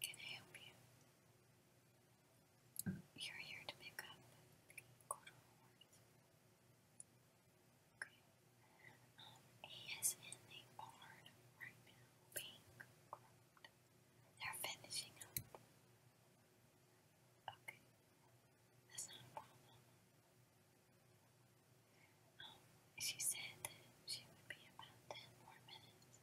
Can I help you? You're here to pick up the quarter horse. Okay. he um, is in the barn right now, being groomed. They're finishing up. Okay. That's not a problem she said that she would be about 10 more minutes.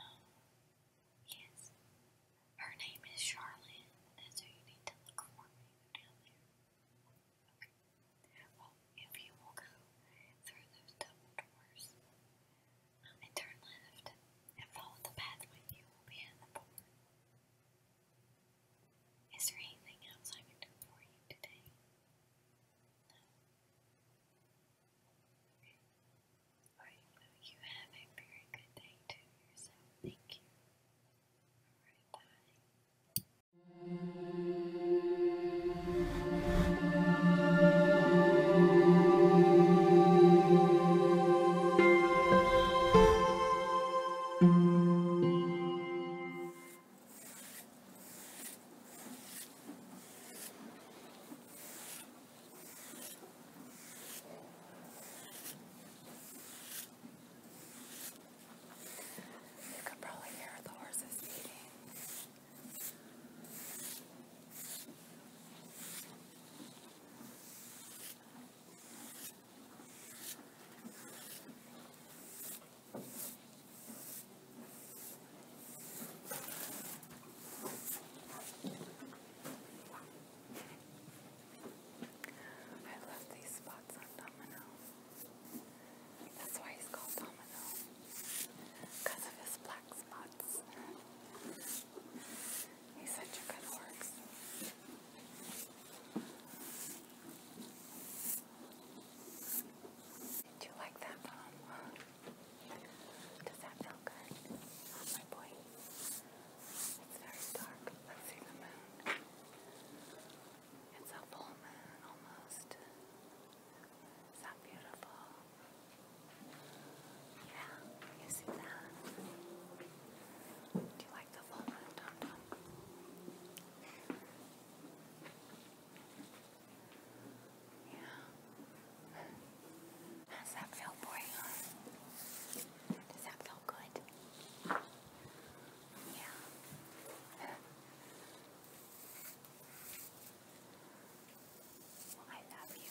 Oh, yes. Her name is Charlotte. That's who you need to look for Okay. Well, if you will go through those double doors um, and turn left and follow the pathway, you will be at the board. Is there anything else I can do for you today? you have a very good day to yourself. Thank you. Alright, you can probably hear the horses eating. I love these spots on Domino. That's why he's called Domino. Because of his black spots. He's such a good horse. Do you like that poem? Does that feel good? Oh, my boy. It's very dark. Let's see the moon. It's a full moon almost. Is that beautiful? Yeah, you see that? Do you like the full moon, Tom? Yeah. How's that feel for Does that feel good? Yeah. I love you.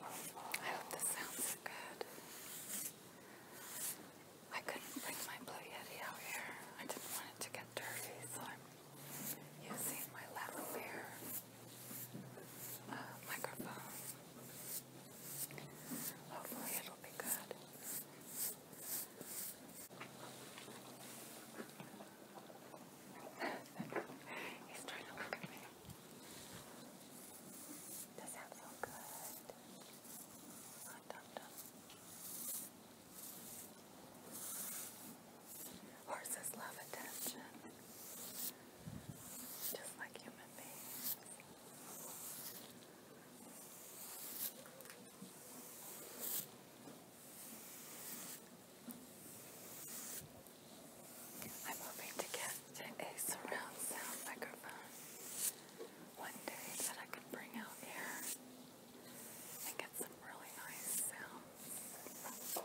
I hope this sounds good. I couldn't bring my Blue Yeti out here. I didn't want it to get dirty, so I'm using my lavalier uh, microphone. Hopefully it'll be good. He's trying to look at me. That sounds good. Hot dum dum. Horses love attention, just like human beings. I'm hoping to get a surround sound microphone one day that I can bring out here and get some really nice sounds.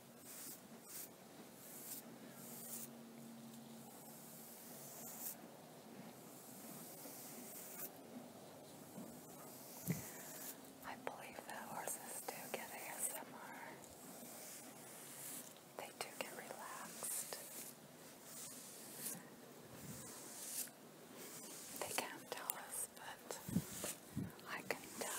I believe that horses do get ASMR. They do get relaxed. They can't tell us is, but I can tell.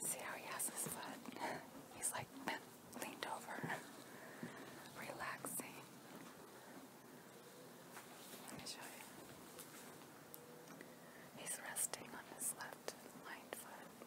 See how he has his foot? He's like leaned over, relaxing. Let me show you. He's resting on his left hind foot.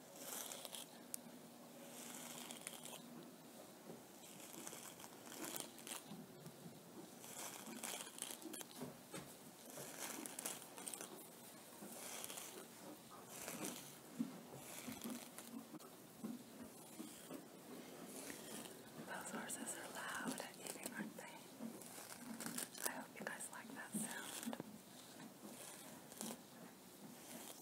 Those horses are loud at eating, aren't they? I hope you guys like that sound.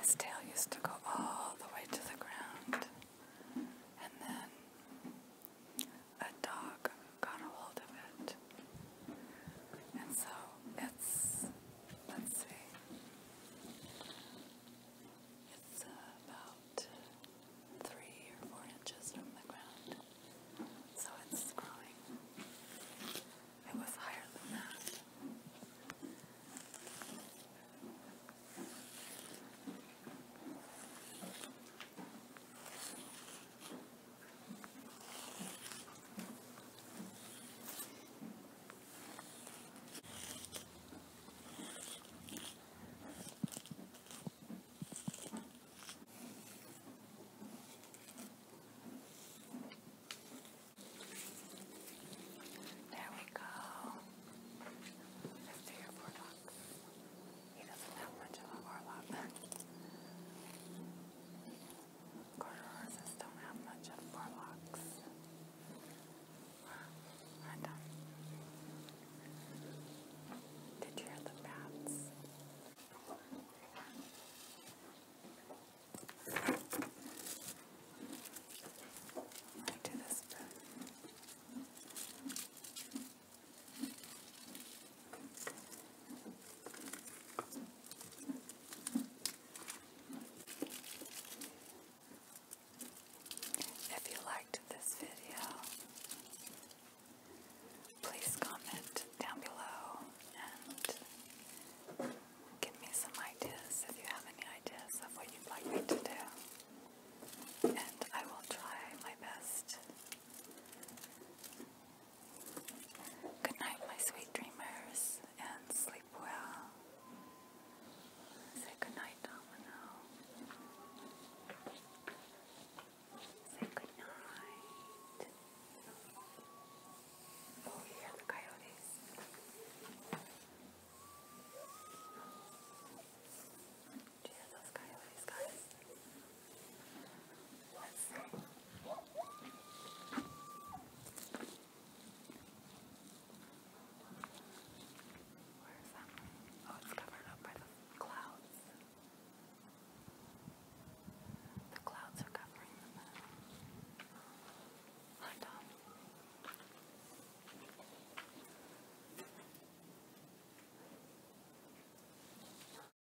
His tail used to go all the way to the ground, and then a dog got a hold of it it. And so it's, let's see, it's about three or four inches from the ground. So it's growing. It was higher than that. There we go. Let's do your He doesn't have much of a forelock. Quarter horses don't have much of forelocks. I don't. Did you hear the bats? I do this bit. If you liked this video, please comment down below and give me some ideas if you have any ideas of what you'd like me to do. And I will try my best Good night, my sweet dreamers, and sleep well. Say good night, Domino. Say good night. Oh, you the coyotes. Do coyotes, guys? Where's that one? Oh, it's covered up by the clouds. The clouds are covering the moon. Hi, Tom.